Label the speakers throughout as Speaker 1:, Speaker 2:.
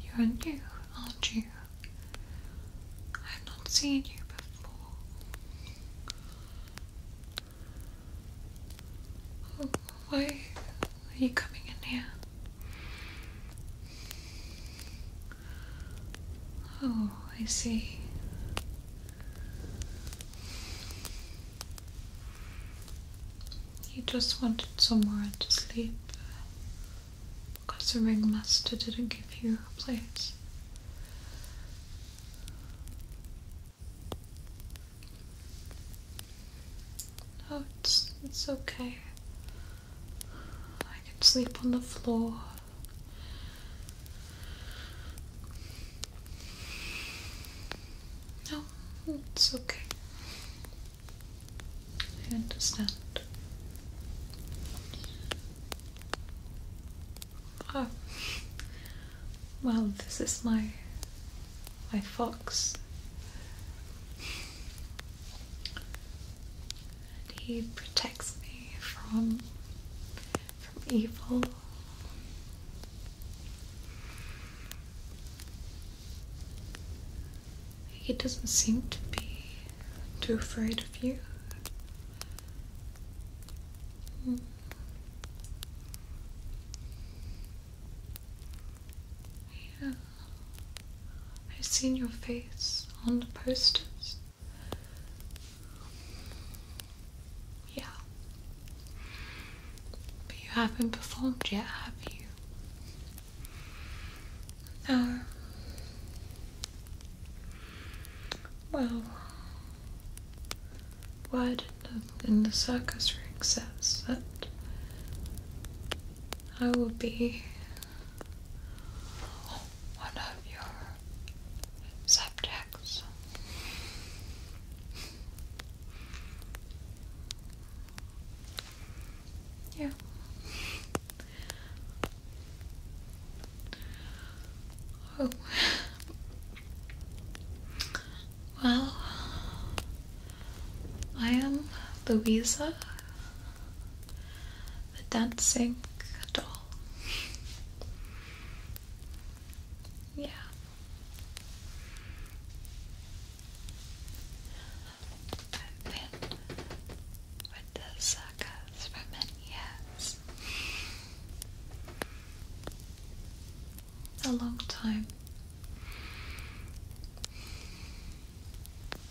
Speaker 1: You're new, aren't you? I've not seen you before. Why are you coming in here? Oh, I see. He just wanted somewhere to sleep, because the ringmaster didn't give you a place. No, it's it's okay. I can sleep on the floor. No, it's okay. I understand. Oh. Well, this is my my fox. And he protects me from from evil. He doesn't seem to be too afraid of you. Hmm. Yeah, I've seen your face on the posters. Yeah. But you haven't performed yet, have you? Uh, well, why did in the circus ring says that I will be one of your subjects. Yeah. Oh. Well, I am Louisa, the dancing doll. Yeah. I've been with the suckers for many years. A long time.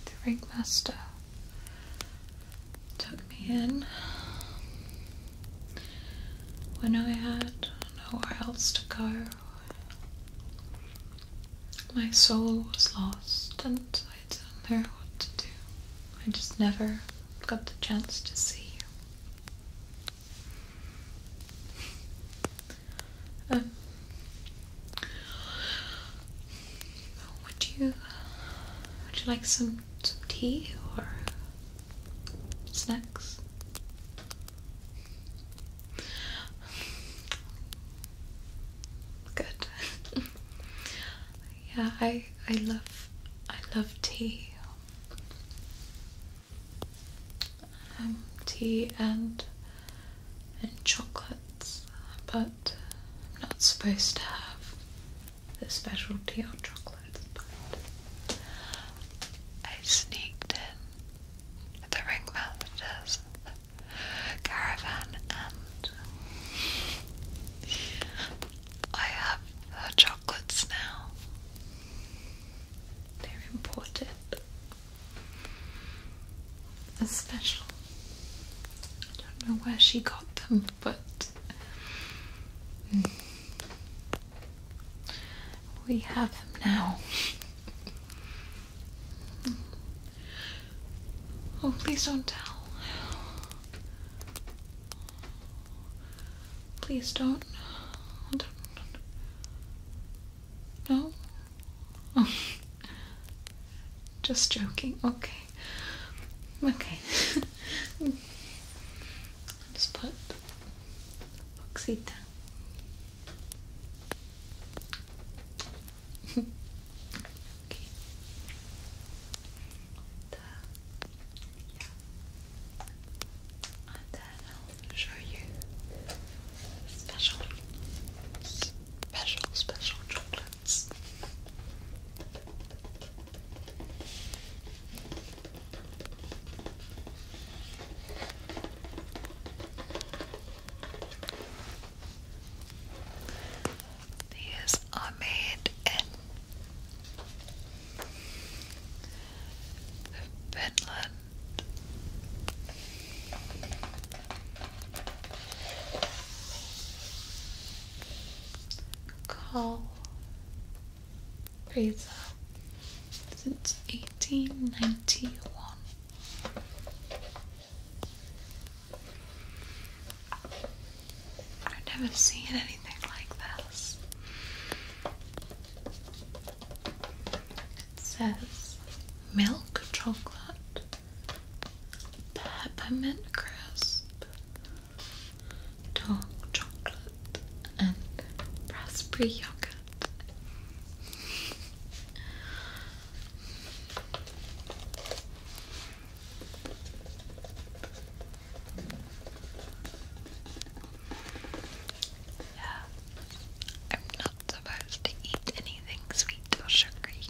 Speaker 1: The ringmaster took me in when I had nowhere else to go my soul was lost and I don't know what to do. I just never got the chance to see you. Um, would you would you like some, some tea or snacks? Good. yeah, I I love I love tea. Um, tea and and chocolates, but I'm not supposed to have the tea or chocolates. But I sneaked in the ringmaster's caravan and I have her chocolates now. They're imported. As special. I don't know where she got them, but hmm. we have them now. Oh, please don't tell. Please don't. No? Oh. Just joking. Okay. Okay. just put Oxita and then I'll show you special, special, special chocolates. These are made in Finland. Call pizza since 1891. I've never seen anything like this. It says milk chocolate, peppermint crisp, dark chocolate, and raspberry yogurt. Yeah, I'm not supposed to eat anything sweet or sugary.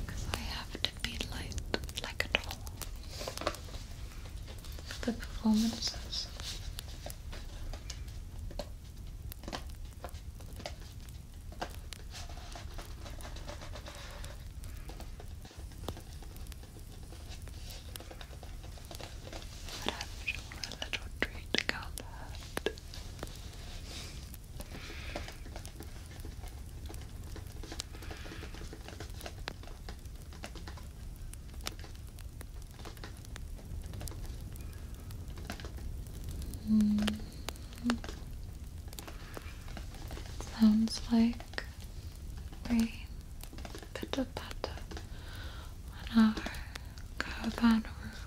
Speaker 1: Because I have to be light like a doll the performances. But a little treat can't hurt. Mm Sounds like rain pitter patter on our caravan roof.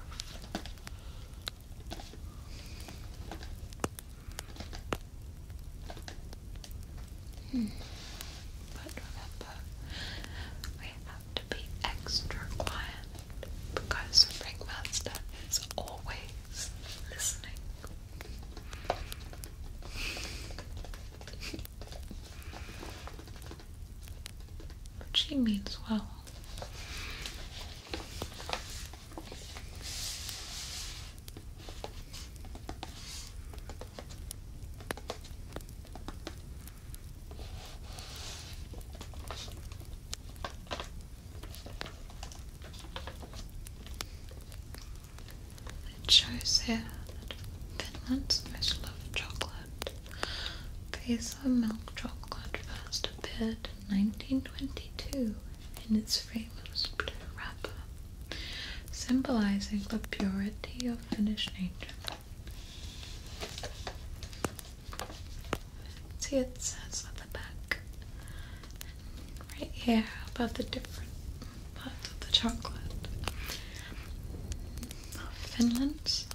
Speaker 1: But remember, we have to be extra quiet because Ringmaster is always listening. but she means well. It shows here that Finland's most loved chocolate, Vasa milk chocolate, first appeared in 1922 in its famous blue wrapper symbolizing the purity of Finnish nature. See, it says at the back, right here, about the different parts of the chocolate. Finland's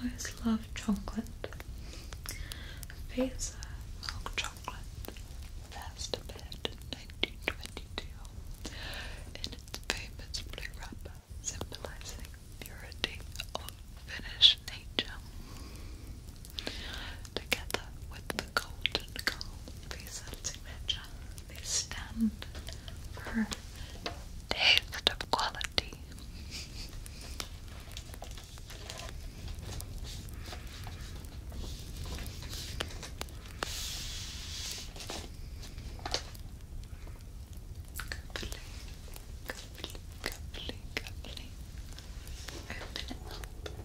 Speaker 1: always love chocolate. Vasa milk chocolate. Chocolate Last Bed 1922 in its famous blue wrapper symbolizing purity of Finnish nature. Together with the golden calm Visa's signature, they stand for taste of quality. Cuddly, cuddly, cuddly, cuddly. Open it up. Open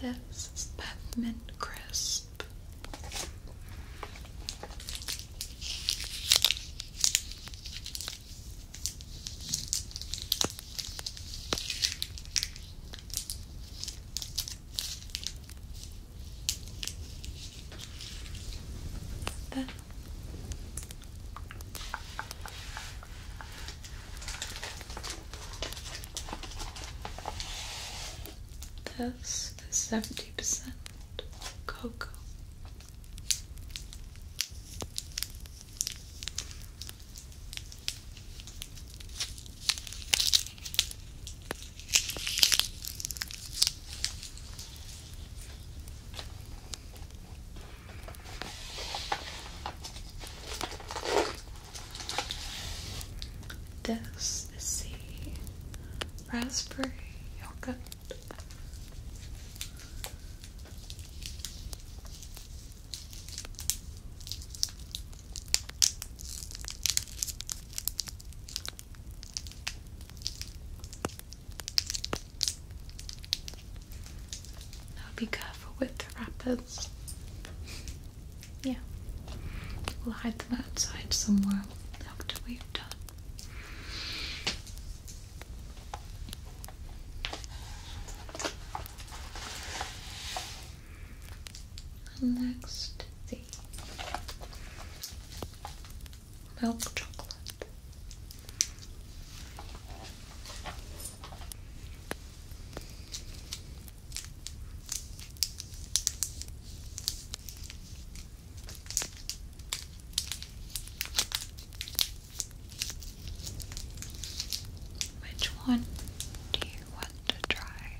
Speaker 1: This is peppermint crisp. This is seventy percent cocoa. This is the raspberry yogurt. Now be careful with the wrappers. Yeah. We'll hide them outside somewhere after we've done next, the milk chocolate. Which one do you want to try?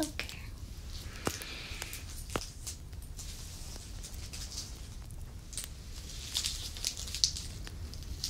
Speaker 1: Okay.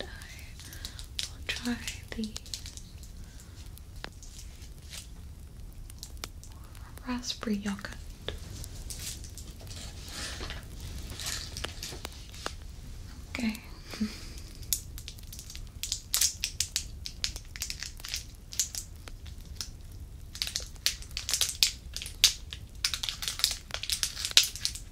Speaker 1: I will try the raspberry yogurt. Okay.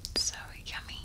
Speaker 1: It's so yummy.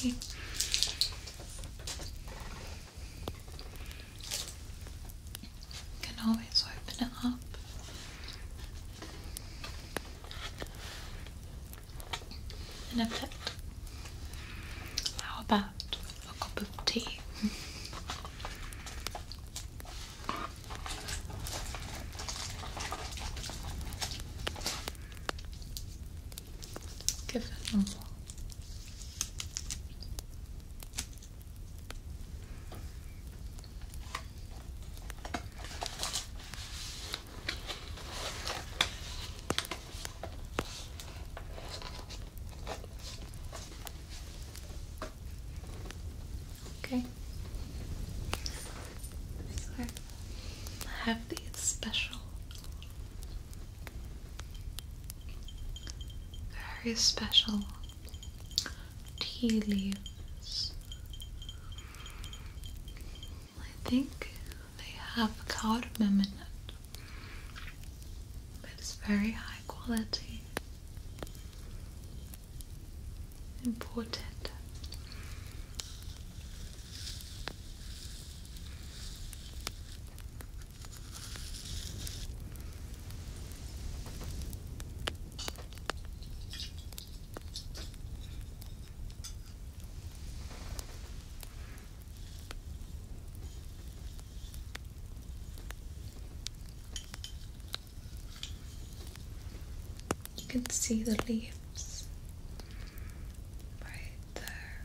Speaker 1: You can always open it up. And a bit. How about a cup of tea? Give it a more. Okay. I have these special, very special tea leaves. I think they have cardamom in it, but it's very high quality important. You can see the leaves right there.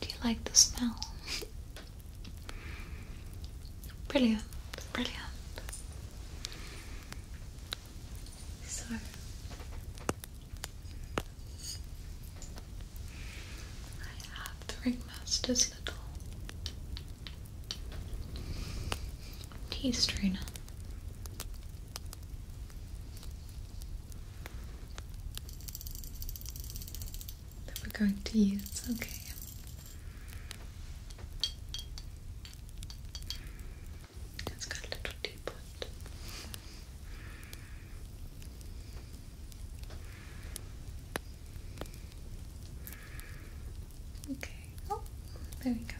Speaker 1: Do you like the smell? brilliant, brilliant. So I have the ringmaster's little tea strainer that we're going to use. Okay. It's got a little teapot. Okay. Oh, there we go.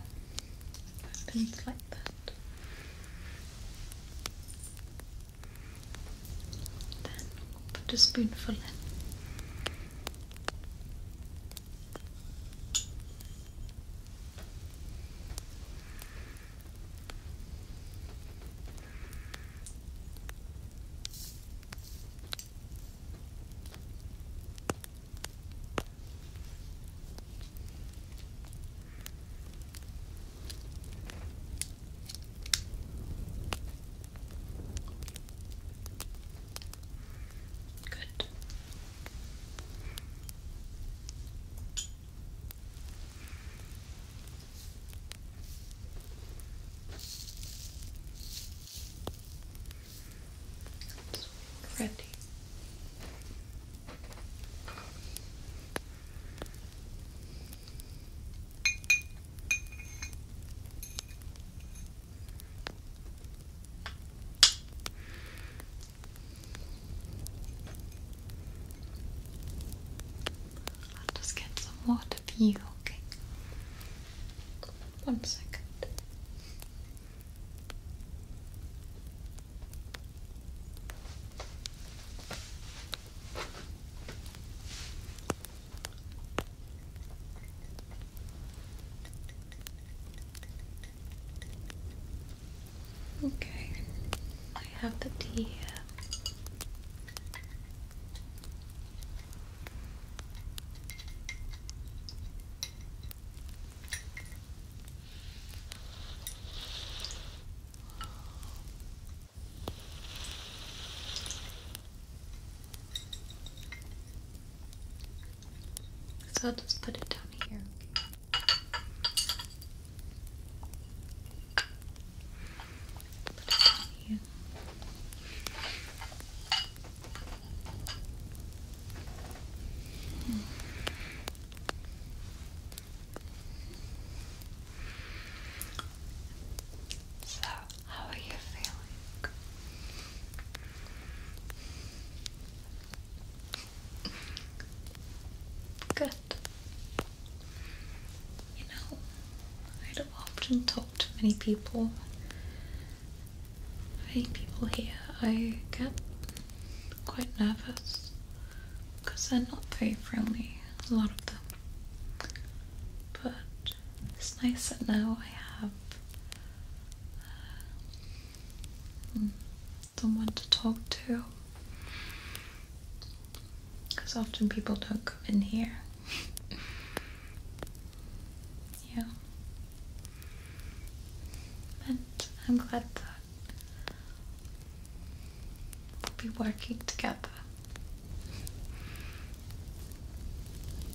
Speaker 1: Happens like that. Then put a spoonful in. Good. Ready. I'll just get some water for you, okay? One second. Okay, I have the tea here. So I'll just put it down here, Put it down here. Hmm. So, how are you feeling? Good. You know, I don't often talk to many people. Many people here. I get quite nervous because they're not very friendly, a lot of them. But it's nice that now I have uh, mm, someone to talk to. Because often people don't come in here. yeah. And I'm glad that We'll be working together.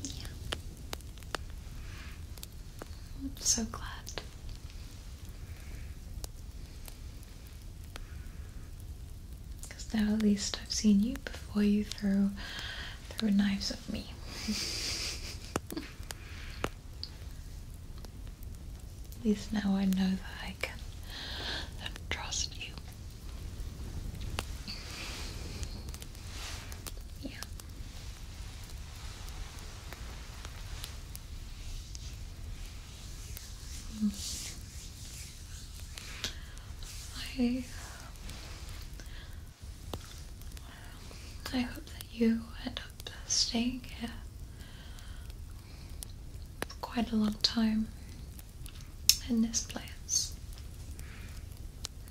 Speaker 1: yeah. I'm so glad. Because now at least I've seen you before you threw, threw knives at me. At least now I know that I can trust you. Yeah. Hmm. I um, I hope that you end up staying here for quite a long time in this place,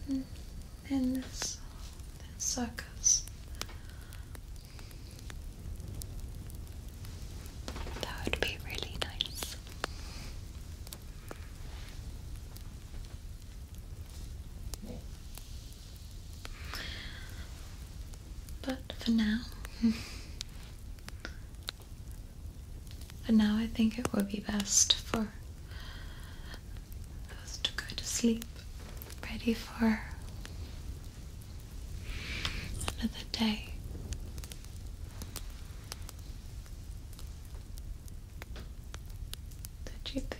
Speaker 1: in this circus. That would be really nice. But for now, for now, I think it would be best for us to go to sleep, ready for another day. Don't you think?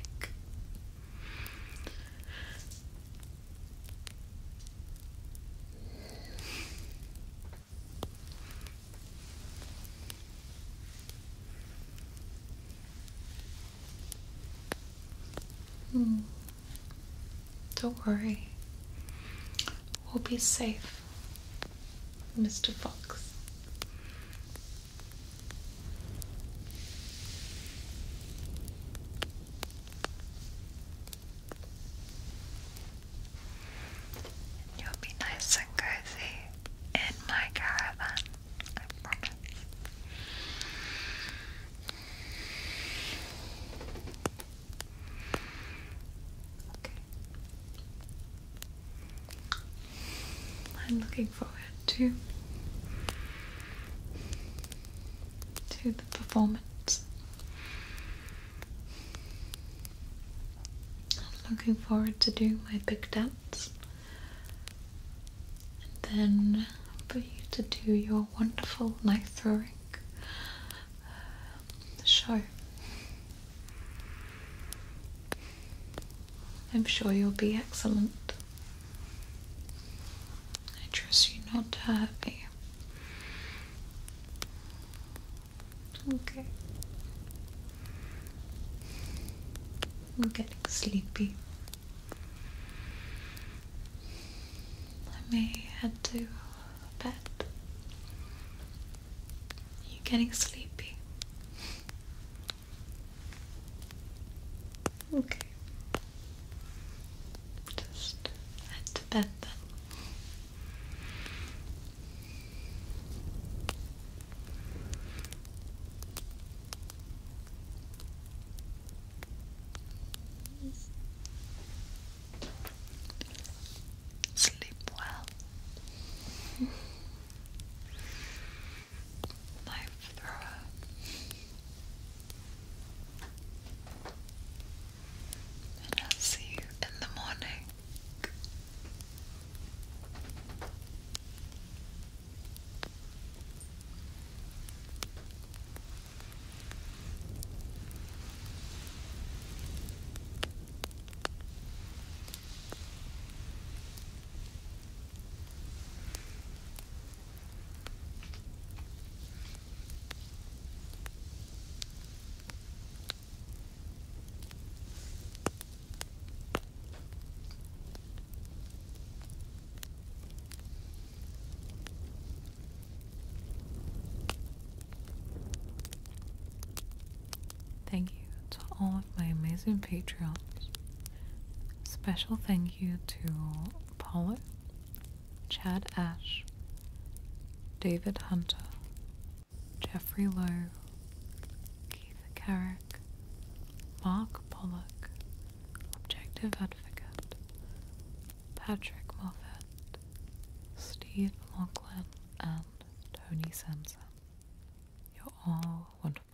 Speaker 1: Hmm. Don't worry. We'll be safe, Mr. Fox. You'll be nice and cozy in my caravan, I promise. Okay. I'm looking forward to to the performance. I'm looking forward to doing my big dance and then for you to do your wonderful knife throwing uh, show. I'm sure you'll be excellent. I trust you not to hurt me. Okay. I'm getting sleepy. I may head to bed. You're getting sleepy. Okay. Just add to that then. Sleep well. Knife thrower. I'll see you in the morning. Thank you to all of my amazing patrons. Special thank you to Powell, Chad Ash, David Hunter, Jeffrey Lowe, Keith Carrick, Mark Pollock, Objective Advocate, Patrick Moffat, Steve Lachlan, and Tony Sanson. You're all wonderful.